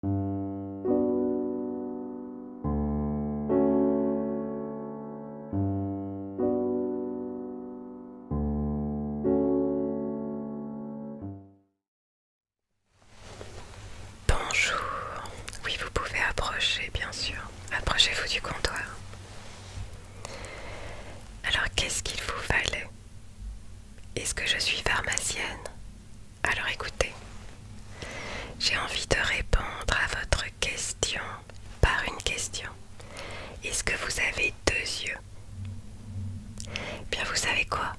Bonjour, oui vous pouvez approcher bien sûr, approchez-vous du comptoir. Alors qu'est-ce qu'il vous fallait Est-ce que je suis pharmacienne alors écoutez, j'ai envie de répondre à votre question par une question. Est-ce que vous avez deux yeux Bien vous savez quoi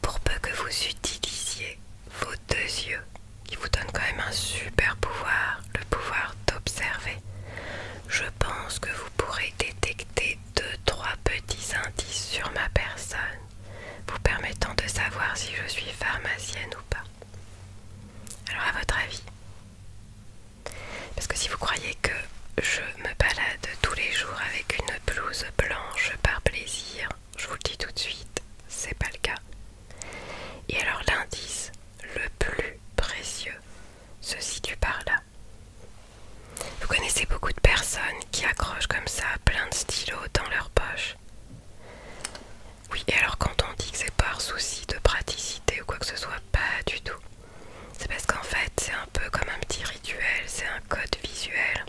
Pour peu que vous utilisiez vos deux yeux, qui vous donnent quand même un super pouvoir, le pouvoir d'observer, je pense que vous pourrez détecter deux, trois petits indices sur ma personne vous permettant de savoir si je suis pharmacienne ou pas. Alors à votre avis Parce que si vous croyez que je me balade tous les jours avec une blouse blanche par plaisir, je vous le dis tout de suite, c'est pas le cas. Et alors l'indice le plus précieux se situe par là. Vous connaissez beaucoup de personnes qui accrochent comme ça plein de stylos dans leur poche. Oui, et alors quand on dit que c'est par souci de praticité ou quoi que ce soit, pas du tout. C'est parce qu'en fait, c'est un peu comme un petit rituel, c'est un code visuel.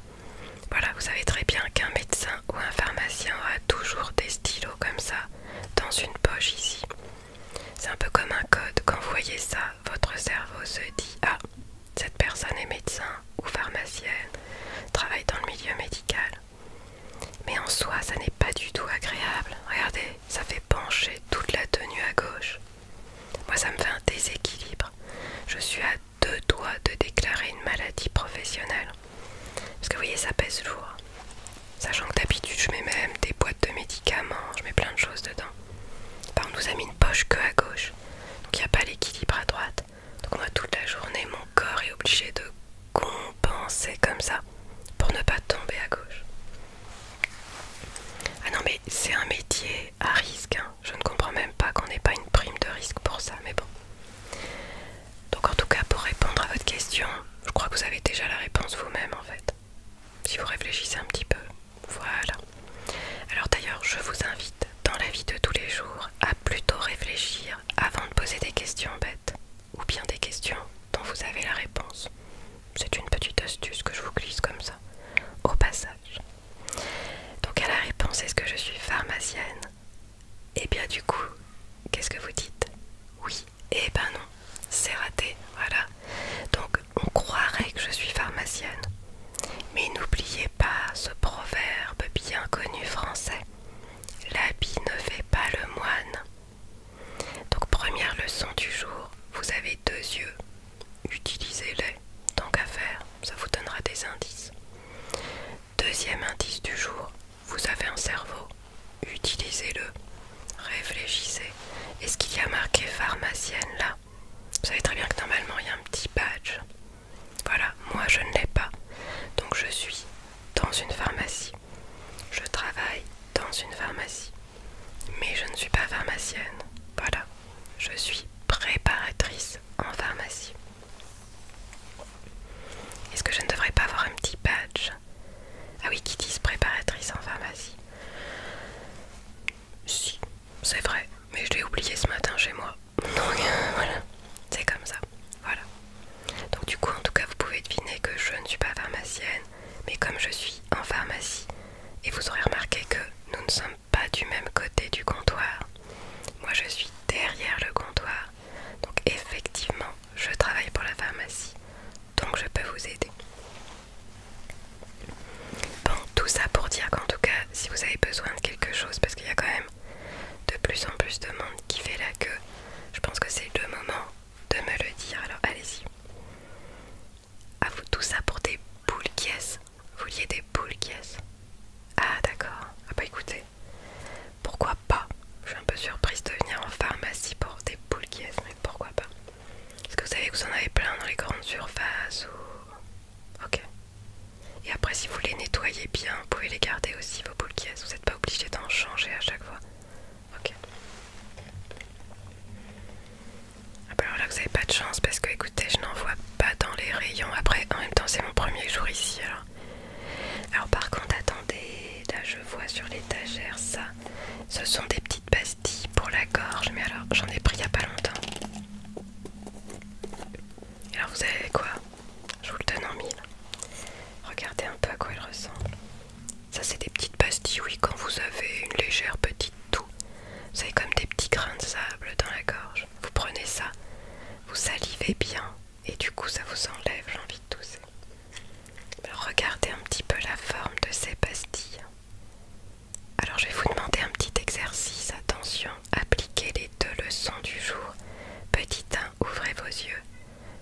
Voilà, vous savez très bien qu'un médecin ou un pharmacien a toujours des stylos comme ça dans une poche ici. C'est un peu comme un code, quand vous voyez ça, votre cerveau se dit Ah, cette personne est médecin ou pharmacienne, travaille dans le milieu médical. Mais en soi, ça n'est pas du tout agréable. Regardez, ça fait pencher toute la tenue à gauche. Moi, ça me fait un déséquilibre. Je suis à deux doigts de déclarer une maladie professionnelle. Parce que vous voyez, ça pèse lourd. Sachant que d'habitude, je mets même des boîtes de médicaments, je mets plein de choses dedans. Enfin, on nous a mis une poche que à gauche. Donc il n'y a pas l'équilibre à droite. Donc moi toute la journée, mon corps est obligé de compenser comme ça pour ne pas tomber à gauche. Ah non mais c'est un métier à risque. Hein. Je ne comprends même pas qu'on n'ait pas une prime de risque pour ça, mais bon. Donc en tout cas pour répondre à votre question, je crois que vous avez déjà la réponse vous-même en fait. Si vous réfléchissez un petit peu. Voilà. Alors d'ailleurs, je vous invite dans la vie de tous les jours à plutôt réfléchir avant de poser des questions bêtes ou bien des questions dont vous avez la réponse. C'est une petite astuce que je vous glisse comme ça, au passage. Donc à la réponse, est-ce que je suis pharmacienne Et eh bien du coup, qu'est-ce que vous dites Oui, et eh ben non, c'est raté, voilà. Donc on croirait que je suis pharmacienne. Mais n'oubliez pas ce proverbe bien connu français. L'habit ne fait pas le moine. Donc première leçon du jour, vous avez deux yeux. Utilisez-les, tant qu'à faire, ça vous donnera des indices. Deuxième indice du jour, vous avez un cerveau. Utilisez-le, réfléchissez. Est-ce qu'il y a marqué pharmacienne là vous savez très bien que normalement il y a un petit badge. Voilà, moi je ne l'ai pas. Donc je suis dans une pharmacie. Je travaille dans une pharmacie. Mais je ne suis pas pharmacienne. Voilà, je suis préparatrice en pharmacie. Est-ce que je ne devrais pas avoir un petit badge Ah oui, qui disent préparatrice en pharmacie Si, c'est vrai, mais je l'ai oublié ce matin chez moi. Donc voilà, c'est comme ça. Voilà. Donc du coup, en tout cas, vous pouvez deviner que je ne suis pas pharmacienne, mais comme je suis en pharmacie, et vous aurez remarqué que nous ne sommes pas du même côté du comptoir. Moi, je suis derrière le comptoir. Donc effectivement, je travaille pour la pharmacie. Donc je peux vous aider. Bon, tout ça pour dire qu'en tout cas, si vous avez besoin de quelque chose, parce qu'il y a quand même de plus en plus de monde qui fait la queue, je pense que c'est le moment de me le dire. Alors allez-y. a vous tout ça pour des boules qui Vous vouliez des boules qui Ah, d'accord. Ah, bah écoutez, pourquoi pas Je suis un peu surprise de venir en pharmacie pour des boules qui mais pourquoi pas Est-ce que vous savez que vous en avez plein dans les grandes surfaces ou Ok. Et après, si vous les nettoyez bien, vous pouvez les garder aussi, vos boules Vous n'êtes pas obligé d'en changer à chaque fois. Ok. Ah bah alors là, vous n'avez pas de chance parce que, écoutez, je n'en vois pas dans les rayons. Après, en même temps, c'est mon premier jour ici. Alors, par contre, attendez, là, je vois sur l'étagère ça. Ce sont des petites pastilles pour la gorge, mais alors j'en ai pris il n'y a pas longtemps. alors vous avez quoi Je vous le donne en mille. Regardez un peu à quoi elle ressemble. Ça c'est des petites pastilles, oui, quand vous avez une légère petite toux. Vous avez comme des petits grains de sable dans la gorge. Vous prenez ça, vous salivez bien et du coup ça vous enlève J'ai envie de tousser. regardez un petit peu la forme de ces pastilles. Alors je vais vous demander un petit exercice. Attention, appliquez les deux leçons du jour. Petit 1, ouvrez vos yeux.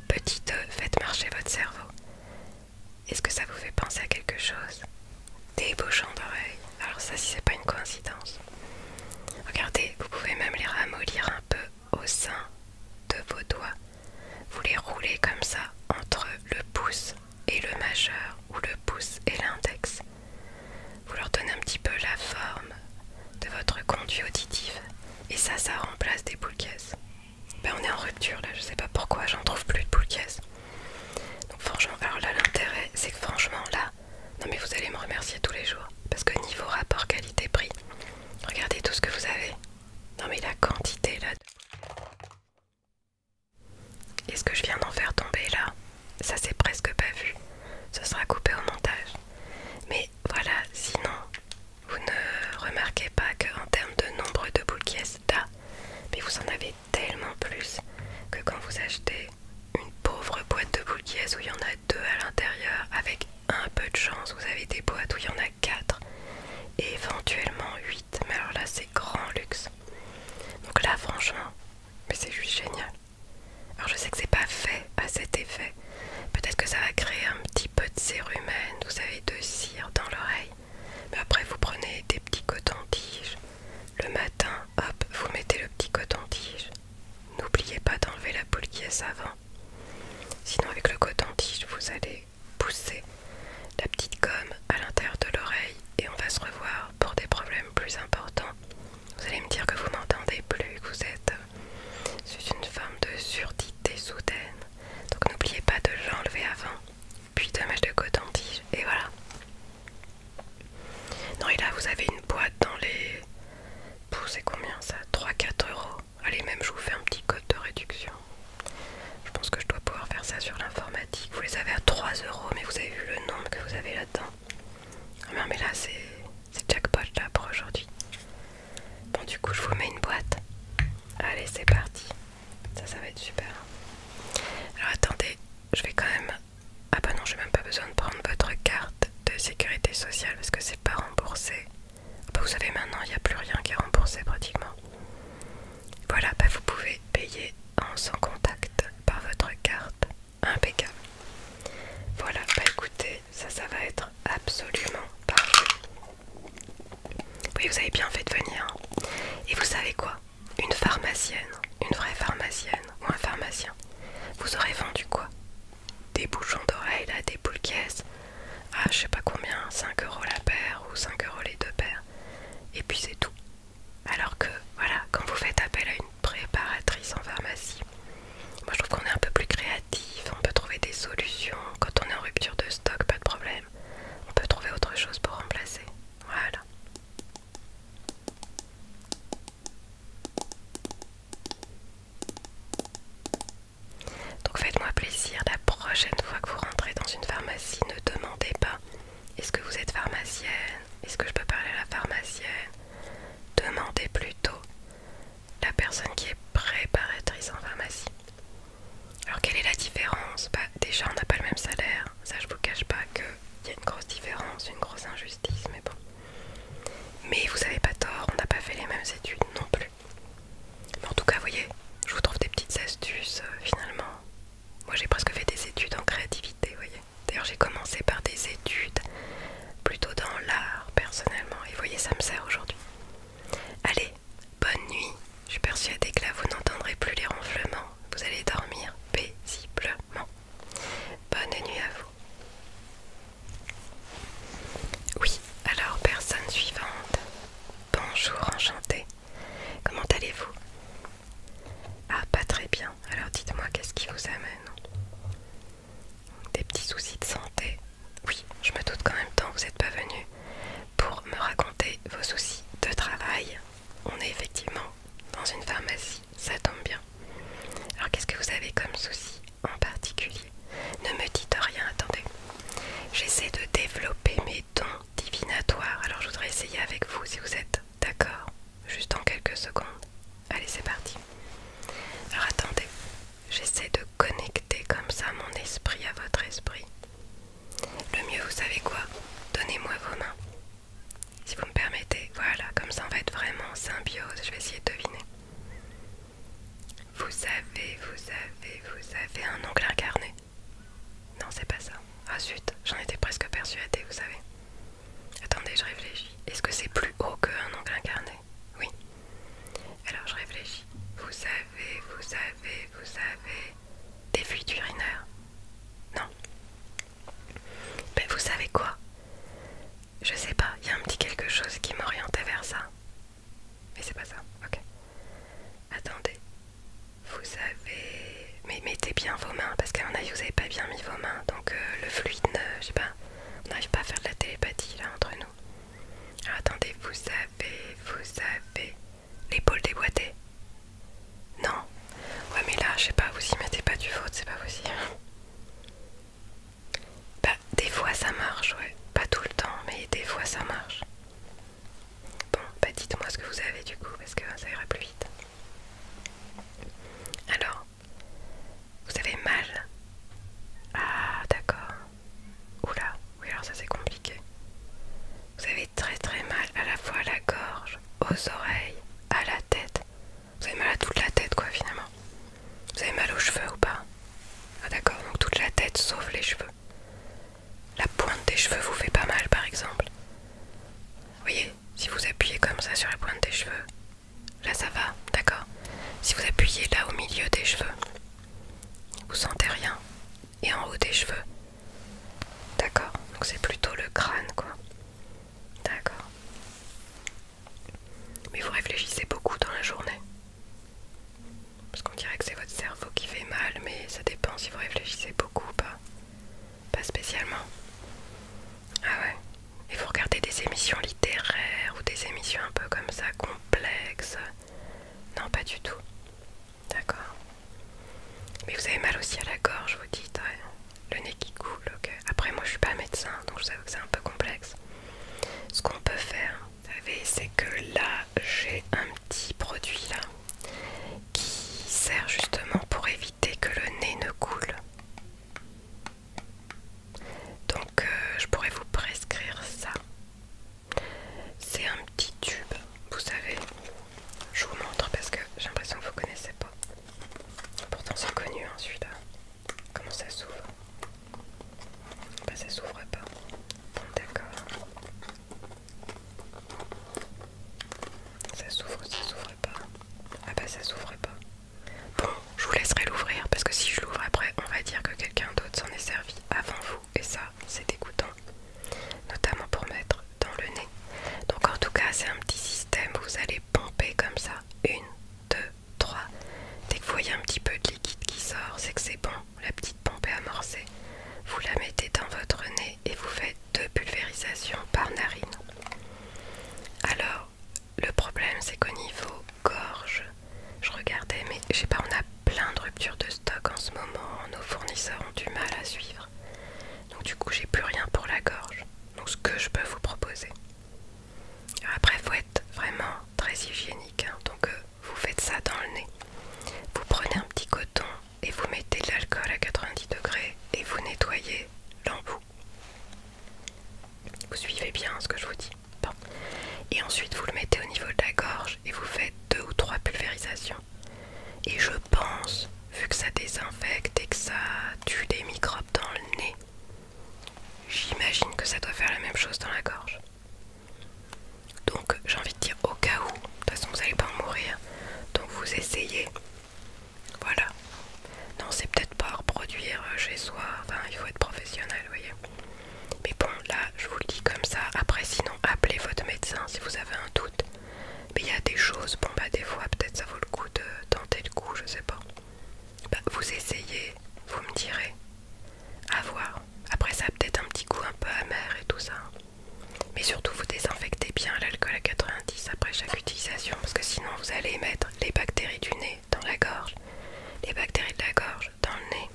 Petit 2, faites marcher votre cerveau. Est-ce que ça vous fait penser à quelque chose Des bouchons d'oreilles. Alors ça, si c'est pas une coïncidence. Regardez, vous pouvez même les ramollir un peu au sein de vos doigts. Vous les roulez comme ça entre le pouce et le majeur ou le pouce et l'index. Vous leur donnez un petit peu la forme de votre conduit auditif et ça, ça remplace des boules ben, on est en rupture là, je sais pas pourquoi, j'en trouve plus de boules Donc franchement, alors là l'intérêt c'est que franchement là, non mais vous allez me remercier tous les jours parce que niveau rapport qualité-prix, regardez tout ce que vous avez. Non mais la quantité là. Et ce que je viens d'en faire tomber là, ça c'est presque pas vu. Ce sera coupé au montage. Mais voilà, sinon, vous ne remarquez pas qu'en termes de nombre de boules qui ah, là, mais vous en avez tellement plus que quand vous achetez une pauvre boîte de boules où il y en a deux à l'intérieur, avec un peu de chance, vous avez des boîtes où il y en a quatre et éventuellement huit. Mais alors là, c'est grand luxe. Donc là, franchement, mais c'est juste génial. Alors je sais que c'est pas fait à cet effet. Peut-être que ça va créer un petit peu de cérumen, vous savez, de cire dans l'oreille. Mais après, vous prenez des petits cotons-tiges. Le matin, hop, vous mettez le petit coton-tige. N'oubliez pas d'enlever la boule qui est avant Sinon, avec le coton-tige, vous allez pousser la petite gomme à l'intérieur de l'oreille et on va se revoir pour des problèmes plus importants. Vous allez me dire que vous m'entendez plus, que vous êtes euh, sous une forme de surdité soudaine. Donc n'oubliez pas de l'enlever avant, puis de mettre en coton-tige et voilà. Non et là vous avez une boîte dans les... combien ça 3-4 euros. Allez même je vous fais un petit code de réduction. Je pense que je dois pouvoir faire ça sur l'informatique. Vous les avez à 3€ mais vous avez vu le nombre que vous avez là-dedans. Ah non, mais là, c'est jackpot là pour aujourd'hui. Bon, du coup, je vous mets une boîte. Allez, c'est parti. Ça, ça va être super. Alors, attendez, je vais quand même. Ah, bah non, j'ai même pas besoin de prendre votre carte de sécurité sociale parce que c'est pas remboursé. Ah, bah, vous savez, maintenant, il n'y a plus rien qui est remboursé pratiquement. Voilà, bah, vous pouvez payer en sans contact par votre carte. Impeccable. Voilà, bah écoutez, ça, ça va être absolument parfait. Oui, vous avez bien fait de venir. Et vous savez quoi Une pharmacienne, une vraie pharmacienne ou un pharmacien, vous aurez vendu quoi Des bouchons d'oreilles, des boules caisses. Ah, je sais pas combien, 5 euros la paire ou 5 euros les deux paires. Et puis c'est tout alors que, voilà, quand vous faites appel à une préparatrice en pharmacie, moi je trouve qu'on est un peu plus créatif, on peut trouver des solutions. Quand on est en rupture de stock, pas de problème. On peut trouver autre chose pour remplacer. Voilà. Donc faites-moi plaisir, la prochaine fois que vous rentrez dans une pharmacie, ne demandez pas est-ce que vous êtes pharmacienne Est-ce que je peux parler à la pharmacienne Demandez plutôt la personne qui est préparatrice en pharmacie. Alors quelle est la différence bah, Déjà on n'a pas le même salaire, ça je vous cache pas qu'il y a une grosse différence, une grosse injustice, mais bon. Mais vous avez pas tort, on n'a pas fait les mêmes études non plus. en tout cas, vous voyez, je vous trouve des petites astuces euh, finalement moi j'ai presque fait des études en créativité, vous voyez. D'ailleurs j'ai commencé par des études plutôt dans l'art personnellement. Et vous voyez, ça me sert aujourd'hui. Allez, bonne nuit. Je suis persuadée que là vous n'entendrez plus les ronflements. Vous allez dormir paisiblement. Bonne nuit à vous. Oui, alors personne suivante. Bonjour, enchantée. Comment allez-vous Ah, pas très bien. Alors dites-moi, qu'est-ce qui vous amène Des petits soucis de santé Oui, je me doute qu'en même temps, vous n'êtes pas venu pour me raconter vos soucis de travail. On est effectivement dans une pharmacie, ça tombe bien. Alors qu'est-ce que vous avez comme soucis en particulier Ne me dites rien, attendez. J'essaie de développer mes ton dons Alors je voudrais essayer avec vous si vous êtes d'accord, juste en quelques secondes. Allez, c'est parti. Alors attendez, j'essaie de connecter comme ça mon esprit à votre esprit. Le mieux, vous savez quoi Donnez-moi vos mains. Si vous me permettez, voilà, comme ça on va être vraiment symbiose, je vais essayer de deviner. Vous savez vous avez, vous avez un ongle incarné. Non, c'est pas ça. Ah zut, j'en étais presque persuadée, vous savez. Attendez, je réfléchis. Est-ce que c'est plus haut qu'un oncle incarné Oui. Alors je réfléchis. Vous savez, vous savez, vous savez. Des fuites urinaires Non. Mais vous savez quoi Je sais pas, il y a un petit quelque chose qui m'orientait vers ça. Mais c'est pas ça, ok. Attendez. Vous avez... Mais mettez bien vos mains, parce qu'à mon vous n'avez pas bien mis vos mains. Donc euh, le fluide, ne... je sais pas, on n'arrive pas à faire de la télépathie là entre nous. attendez, vous avez... Vous avez... L'épaule déboîtée Non Ouais mais là, je sais pas, vous y mettez pas du faute, c'est pas vous aussi. Bah, des fois ça marche, ouais. Pas tout le temps, mais des fois ça marche. Bon, bah dites-moi ce que vous avez du coup, parce que ça ira plus vite. Alors, vous avez mal Ah, d'accord. Oula, oui, alors ça c'est compliqué. Vous avez très très mal à la fois à la gorge, aux oreilles, à la tête. Vous avez mal à toute la tête, quoi, finalement. Vous avez mal aux cheveux ou pas Ah, d'accord, donc toute la tête sauf les cheveux. La pointe des cheveux vous fait pas mal par exemple. Vous voyez, si vous appuyez comme ça sur la pointe des cheveux, là ça va, d'accord Si vous appuyez là au milieu des cheveux, vous sentez rien. Et en haut des cheveux, d'accord Donc c'est plutôt le crâne quoi. D'accord. Mais vous réfléchissez beaucoup dans la journée. Parce qu'on dirait que c'est votre cerveau qui fait mal, mais ça dépend si vous réfléchissez beaucoup ou pas. Pas spécialement. Ah ouais. Et vous regardez des émissions littéraires ou des émissions un peu comme ça, complexes. Non, pas du tout. D'accord. Mais vous avez mal aussi à la gorge, vous dites, Le nez qui coule, ok. Après, moi je suis pas médecin, donc je sais que c'est un peu complexe. Ce qu'on peut faire, vous savez, c'est que là, j'ai un petit produit là qui sert justement pour éviter que le nez ne coule. Donc euh, je pourrais vous prescrire ça. C'est un petit tube, vous savez. Je vous montre parce que j'ai l'impression que vous connaissez pas. Pourtant c'est connu hein, celui-là. Comment ça s'ouvre Bah ça s'ouvre pas. D'accord. Ça s'ouvre, ça s'ouvre pas. Ah bah ça s'ouvre pas. Bon, je vous laisserai l'ouvrir parce que si je l'ouvre après, on va dire que quelqu'un d'autre s'en est servi avant vous et ça, c'est dégoûtant. Notamment pour mettre dans le nez. Donc en tout cas, c'est un petit système, vous allez pomper comme ça. Une, deux, trois. Dès que vous voyez un petit peu de liquide qui sort, c'est que c'est bon la petite pompe est amorcée. Vous la mettez dans votre nez et vous faites deux pulvérisations par narine. Alors, le problème c'est qu'au niveau gorge, je regardais, mais je sais pas, on a plein de ruptures de stock en ce moment, nos fournisseurs ont du mal à suivre. Donc du coup, j'ai plus rien pour la gorge. Donc ce que je peux vous proposer. après, faut être vraiment très hygiénique. Hein. donc euh, vous faites ça dans le nez. Vous prenez un petit coton et vous mettez de l'alcool à 90 degrés et vous nettoyez l'embout. Vous suivez bien ce que je vous dis. Et ensuite vous le mettez au niveau de la gorge et vous faites deux ou trois pulvérisations. Et je pense, vu que ça désinfecte et que ça tue les microbes dans le nez, j'imagine que ça doit faire la même chose dans la gorge. Donc j'ai envie de dire au cas où, de toute façon vous n'allez pas mourir, donc vous essayez. Voilà. Non, c'est peut-être pas à reproduire euh, chez soi, enfin il faut être professionnel, vous voyez. Mais bon, là je vous le dis comme ça, après sinon appelez votre médecin si vous avez un doute. Mais il y a des choses, bon bah des fois peut-être ça vaut le coup de tenter le coup, je sais pas. Bah, vous essayez, vous me direz. À voir. Après ça a peut-être un petit goût un peu amer et tout ça. Mais surtout vous désinfectez bien l'alcool à 90 après chaque utilisation parce que sinon vous allez mettre les bactéries du nez dans la gorge, les bactéries de la gorge dans le nez.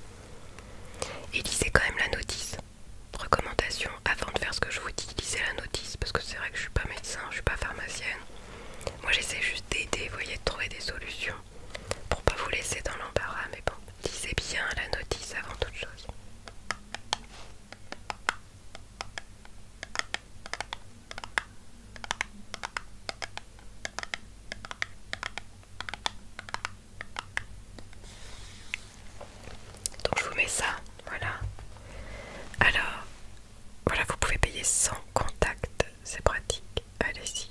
Et lisez quand même la notice. Recommandation avant de faire ce que je vous dis, lisez la notice parce que c'est vrai que je suis pas médecin, je suis pas pharmacienne. Moi j'essaie juste d'aider, vous voyez, de trouver des solutions pour pas vous laisser dans l'embarras, mais bon, lisez bien la notice avant toute chose. Donc je vous mets ça, voilà. Alors, voilà, vous pouvez payer sans contact, c'est pratique allez-y.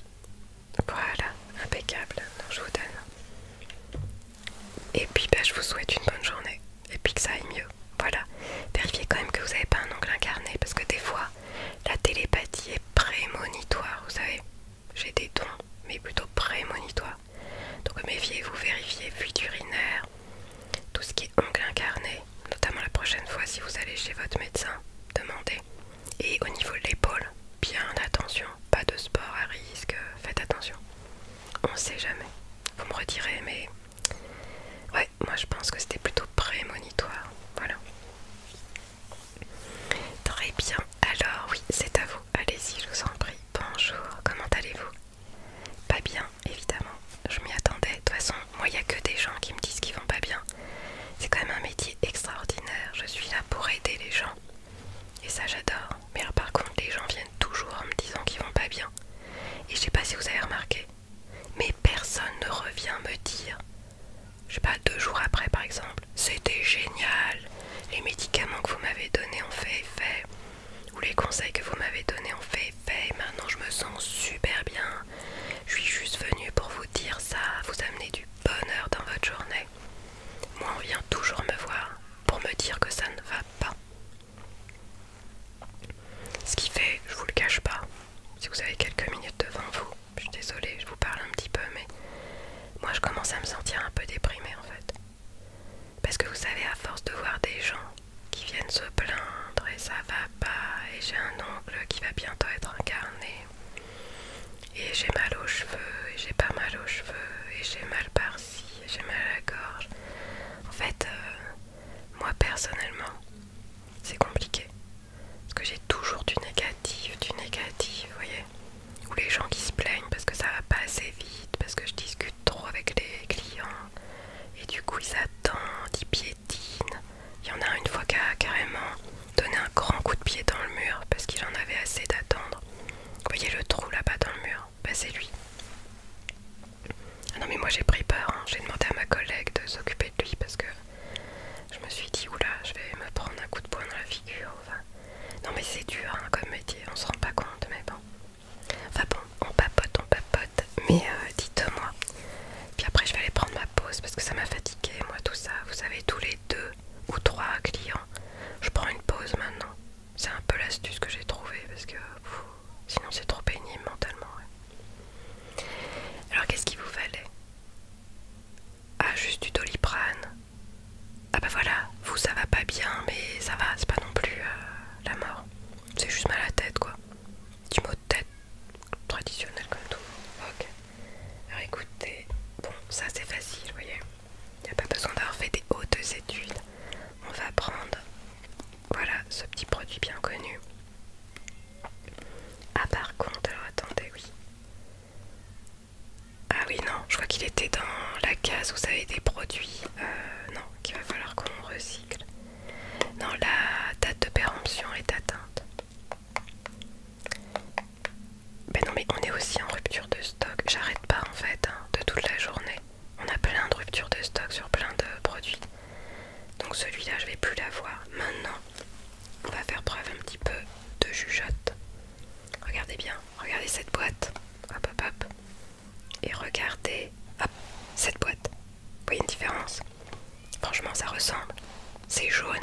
Voilà, impeccable. je vous donne. Et puis bah, je vous souhaite une bonne journée. Et puis que ça aille mieux. Voilà. Vérifiez quand même que vous n'avez pas un ongle incarné. Parce que des fois, la télépathie est prémonitoire. Vous savez, j'ai des dons, mais plutôt prémonitoire Donc méfiez-vous, vérifiez fuite urinaire, tout ce qui est ongle incarné. Notamment la prochaine fois si vous allez chez votre médecin, demandez. Et au niveau de l'épaule, bien attention, pas de sport à risque, faites attention. On sait jamais. Vous me retirez, mais ouais, moi je pense que c'était plutôt prémonitoire. Voilà. Très bien. Alors oui, c'est à vous. Allez-y, je vous en prie. Bonjour. Comment allez-vous Pas bien, évidemment. Je m'y attendais. De toute façon, moi il n'y a que des gens qui me disent qu'ils vont pas bien. C'est quand même un métier extraordinaire. Je suis là pour aider les gens. Et ça j'adore. Mais par contre, les gens viennent toujours en me disant qu'ils vont pas bien. Et je sais pas si vous avez remarqué. Mais personne ne revient me dire. Je sais pas, deux jours après par exemple. C'était génial. Les médicaments que vous m'avez donnés ont fait effet. Ou les conseils que vous m'avez donnés ont fait effet. maintenant je me sens super bien. Je suis juste venue pour vous dire ça, vous amener du bonheur dans votre journée. Moi, on vient toujours me voir pour me dire que ça ne va pas. Ce qui fait, je vous le cache pas, si vous avez quelques minutes devant vous, je suis désolée, je vous parle un petit peu, mais moi je commence à me sentir un peu déprimée en fait. Parce que vous savez, à force de voir des gens qui viennent se plaindre et ça va pas, et j'ai un oncle qui va bientôt être incarné, et j'ai mal aux cheveux, et j'ai pas mal aux cheveux, et j'ai mal par-ci, et j'ai mal à la gorge. En fait, euh, moi personnellement, c'est compliqué. Parce que j'ai toujours du négatif, du négatif, vous voyez. Ou les gens qui se plaignent parce que ça va pas assez vite, parce que je discute trop avec les clients. Et du coup, ils attendent, ils piétinent. Il y en a une fois qui carrément donner un grand coup de pied dans le mur parce qu'il en avait assez d'attendre. Vous voyez le trou là-bas dans le mur Bah c'est lui. Ah non mais moi j'ai pris peur, hein. j'ai demandé à ma collègue de s'occuper de lui parce que je me suis dit oula je vais me prendre un coup de poing dans la figure. Non mais c'est dur hein, comme métier, on se rend pas compte mais bon. Enfin bon, on papote, on papote, mais euh, dites-moi. Puis après je vais aller prendre ma pause parce que ça m'a fatiguée moi tout ça. Vous savez tous les deux ou trois clients. Je prends une pause maintenant. C'est un peu l'astuce que j'ai trouvée parce que sinon c'est trop pénible mentalement. Alors qu'est-ce qu'il vous fallait Ah juste du doliprane. Ah bah voilà, vous ça va pas bien mais ça va, c'est pas non plus euh, la mort. C'est juste mal à la tête quoi. du mot de tête traditionnel comme tout. Ok. Alors écoutez, bon ça c'est facile, vous voyez. Il n'y a pas besoin d'avoir fait des hautes études. On va prendre, voilà, ce petit produit bien connu. Ah par contre, alors attendez, oui. Ah oui, non, je crois qu'il était dans la case où vous avait des produits, euh, non, qu'il va falloir qu'on recycle. Non, la date de péremption est atteinte. Ben non mais on est aussi en rupture de stock, j'arrête pas en fait hein, de toute la journée. On a plein de rupture de stock sur plein de produits. Donc celui-là je vais plus l'avoir. Maintenant, on va faire preuve un petit peu de jugeote. Regardez bien, regardez cette boîte. Hop hop hop. Et regardez, cette boîte. Vous voyez une différence Franchement ça ressemble. C'est jaune,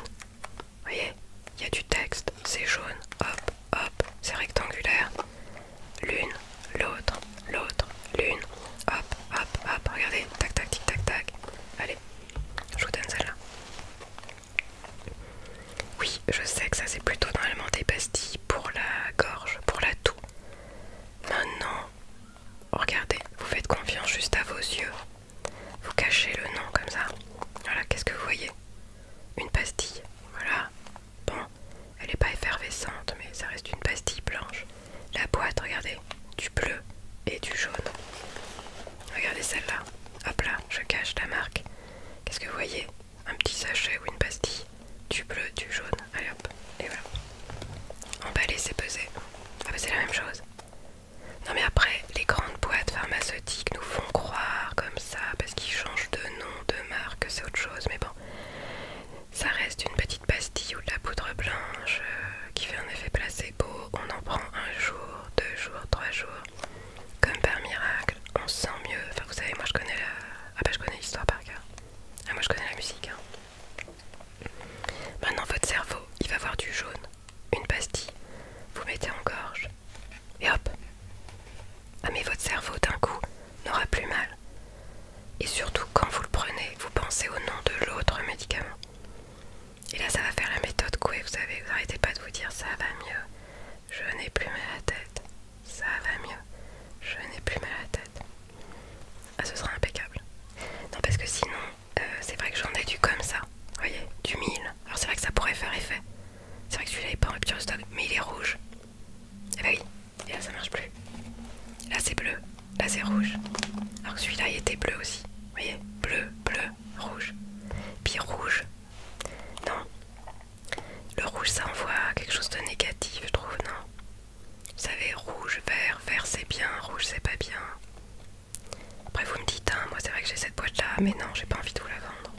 voyez, il y a du texte, c'est jaune, hop, hop, c'est rectangulaire. L'une, l'autre, l'autre, l'une, hop, hop, hop, regardez, tac, tac, tic, tac, tac. Allez, je vous donne celle-là. Oui, je sais que ça c'est plutôt normalement des pastilles pour la gorge, pour la toux. Maintenant, regardez, vous faites confiance juste à vos yeux. Vous cachez le nom comme ça. Voilà, qu'est-ce que vous voyez Une pastille. Voilà. Bon, elle n'est pas effervescente, mais ça reste une pastille blanche. La boîte, regardez, du bleu et du jaune. Regardez celle-là. Hop là, je cache la marque. Qu'est-ce que vous voyez Un petit sachet ou une pastille. Du bleu, du jaune. Allez hop, et voilà. Emballer, c'est peser Ah bah, c'est la même chose. Non mais après, les grandes boîtes pharmaceutiques nous font croire comme ça parce qu'ils changent de nom, de marque, c'est autre chose. Mais bon, ça reste une petite pastille ou de la poudre blanche euh, qui fait un effet placebo. On en prend un jour, deux jours, trois jours, comme par miracle. On sent mieux. Enfin, vous savez, moi je connais la... Ah, bah, je connais l'histoire par cœur. Ah, moi je connais la musique. Hein. Maintenant votre cerveau, il va voir du jaune, une pastille, vous mettez en gorge, et hop Ah mais votre cerveau d'un coup n'aura plus mal. Et surtout quand vous le prenez, vous pensez au nom de l'autre médicament. Et là ça va faire la méthode couée, vous savez, vous n'arrêtez pas de vous dire ça va mieux, je n'ai plus mal à la tête, ça va mieux, je n'ai plus mal à la tête. Ah ce sera impeccable. Non parce que sinon euh, c'est vrai que j'en ai du comme ça, voyez, du mille Alors c'est vrai que ça pourrait faire effet. C'est vrai que celui-là n'est pas en rupture de stock, mais il est rouge. Et eh bah ben oui, et là ça marche plus. Là c'est bleu, là c'est rouge. Alors que celui-là il était bleu aussi, vous voyez, bleu, bleu, rouge. Puis rouge, non. Le rouge ça envoie quelque chose de négatif, je trouve, non. Vous savez, rouge, vert, vert c'est bien, rouge c'est pas bien. Après vous me dites, hein, moi c'est vrai que j'ai cette boîte là, mais non, j'ai pas envie de vous la vendre.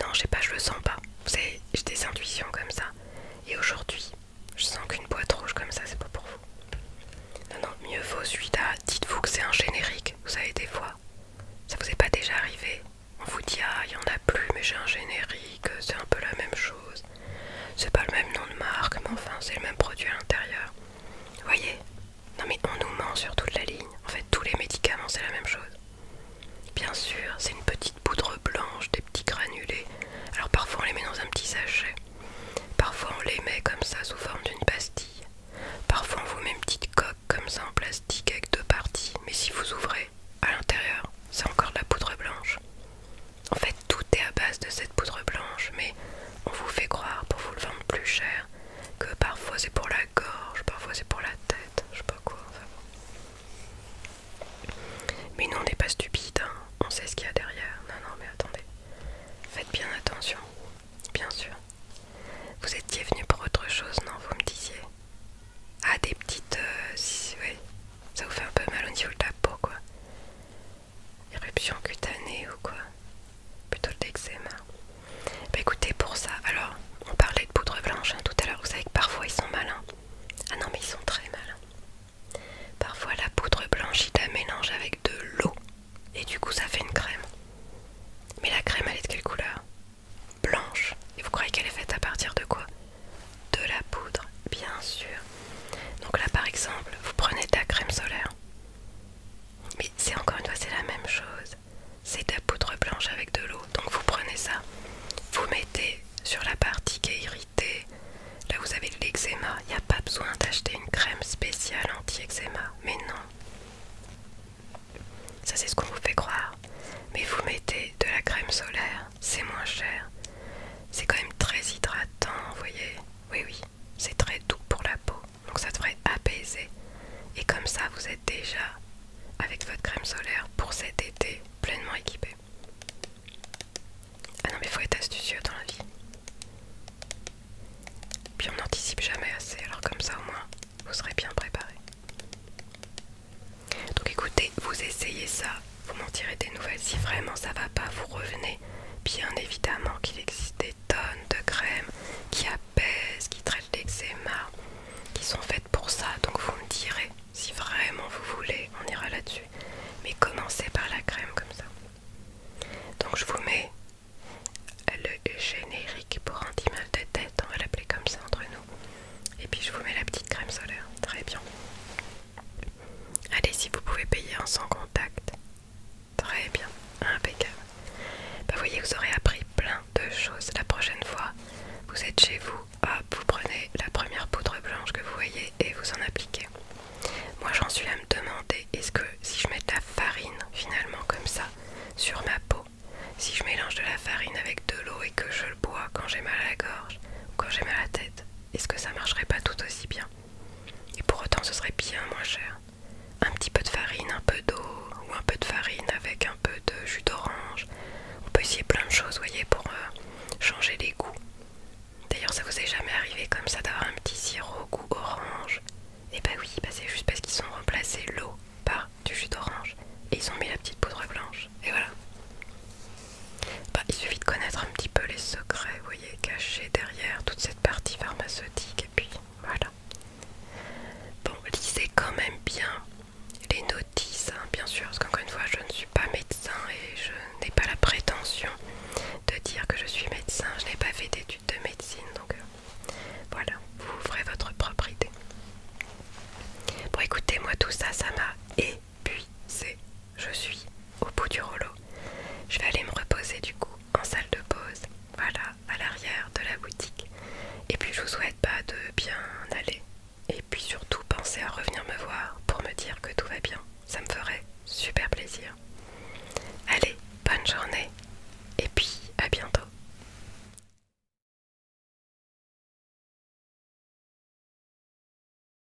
Non, je sais pas, je le sens pas. J'ai des intuitions comme ça. Et aujourd'hui, je sens qu'une boîte rouge comme ça, c'est pas pour vous. Non, non, mieux vaut celui-là. Dites-vous que c'est un générique. Vous savez, des fois, ça vous est pas déjà arrivé. On vous dit, ah, il y en a plus, mais j'ai un générique, c'est un peu la même chose. C'est pas le même nom de marque, mais enfin, c'est le même produit à l'intérieur. Vous voyez Non mais on nous ment sur toute la ligne. En fait, tous les médicaments, c'est la même chose. Bien sûr, c'est une petite poudre blanche, des petits granulés. Alors parfois on les met dans un petit sachet. Parfois on les met comme ça sous forme d'une pastille. Parfois on vous met une petite coque comme ça en plastique avec deux parties. Mais si vous ouvrez à l'intérieur, c'est encore de la poudre blanche. En fait, tout est à base de cette poudre blanche, mais on vous fait croire pour vous le vendre plus cher que parfois c'est pour la gorge, parfois c'est pour la tête, je sais pas quoi. Mais nous on n'est pas stupide, hein. on sait ce qu'il y a derrière. Non, non, mais attendez, faites bien attention, bien sûr. Vous étiez venu pour autre chose, non Vous me disiez Ah, des petites. Euh, oui, ça vous fait un peu mal au niveau de la peau, quoi éruption cutanée ou quoi Plutôt de l'eczéma. Bah écoutez, pour ça, alors, on parlait de poudre blanche hein, tout à l'heure, vous savez que parfois ils sont malins. Ah non, mais ils sont très malins. Parfois la poudre blanche, Il la mélange avec de l'eau et du coup ça fait une crème. Mais la crème, elle est de quelle couleur Blanche. Et vous croyez qu'elle est faite à partir de quoi De la poudre, bien sûr. Donc là par exemple, vous prenez de la crème solaire. Mais c'est encore une fois, c'est la même chose. C'est de la poudre blanche avec de l'eau. Donc vous prenez ça, vous mettez sur la partie qui est irritée. Là vous avez de l'eczéma. Il n'y a pas besoin d'acheter une crème spéciale anti-eczéma. Mais non. Ça c'est ce qu'on vous fait croire. Mais vous mettez de la crème solaire. C'est moins cher. C'est quand même très hydratant, vous voyez. Oui, oui, c'est très doux pour la peau, donc ça devrait apaiser. Et comme ça, vous êtes déjà avec votre crème solaire pour cet été pleinement équipé. Ah non, mais il faut être astucieux dans la vie. Puis on n'anticipe jamais assez, alors comme ça au moins, vous serez bien préparé. Donc écoutez, vous essayez ça vous m'en direz des nouvelles si vraiment ça va pas, vous revenez. Bien évidemment qu'il existe des tonnes de crèmes qui apaisent, qui traitent l'eczéma, qui sont faites pour ça, donc vous me direz si vraiment vous voulez, on ira là-dessus. Mais commencez par la crème comme ça. Donc je vous mets le générique pour un mal de tête, on va l'appeler comme ça entre nous. Et puis je vous mets la petite crème solaire. Très bien. Allez, si vous pouvez payer en sans contact. Très bien, impeccable. Bah voyez, vous aurez appris plein de choses. La prochaine fois, vous êtes chez vous, hop, vous prenez la première poudre blanche que vous voyez et vous en appliquez. Moi, j'en suis à me demander, est-ce que si je mets de la farine, finalement, comme ça, sur ma peau, si je mélange de la farine avec de l'eau et que je le bois quand j'ai mal à la gorge ou quand j'ai mal à la tête, est-ce que ça marcherait pas tout aussi bien Et pour autant, ce serait bien moins cher. Un petit peu de farine, un peu d'eau, ou un peu de farine avec un peu de jus d'orange. On peut essayer plein de choses, voyez, pour euh, changer les goûts. D'ailleurs, ça vous est jamais arrivé comme ça d'avoir un petit sirop goût orange Et eh ben bah oui, c'est juste parce qu'ils ont remplacé l'eau par du jus d'orange et ils ont mis la petite poudre blanche. Et voilà. Bah, il suffit de connaître un petit peu les secrets, vous voyez, cachés derrière toute cette partie pharmaceutique. Et puis voilà. Bon, lisez quand même bien les notices, hein, bien sûr, parce qu'encore une fois, je ne suis pas médecin et je n'ai pas la prétention de dire que je suis médecin. Je n'ai pas fait d'études de médecine, donc euh, voilà, vous ferez votre propre idée. Bon, écoutez, moi tout ça, ça m'a et puis, c'est, Je suis au bout du rouleau. Je vais aller me reposer du coup en salle de pause. Voilà, à l'arrière de la boutique. Et puis je vous souhaite pas de bien aller. Et puis surtout pensez à revenir me voir pour me dire que tout va bien. Ça me ferait super plaisir. Allez, bonne journée. Et puis à bientôt.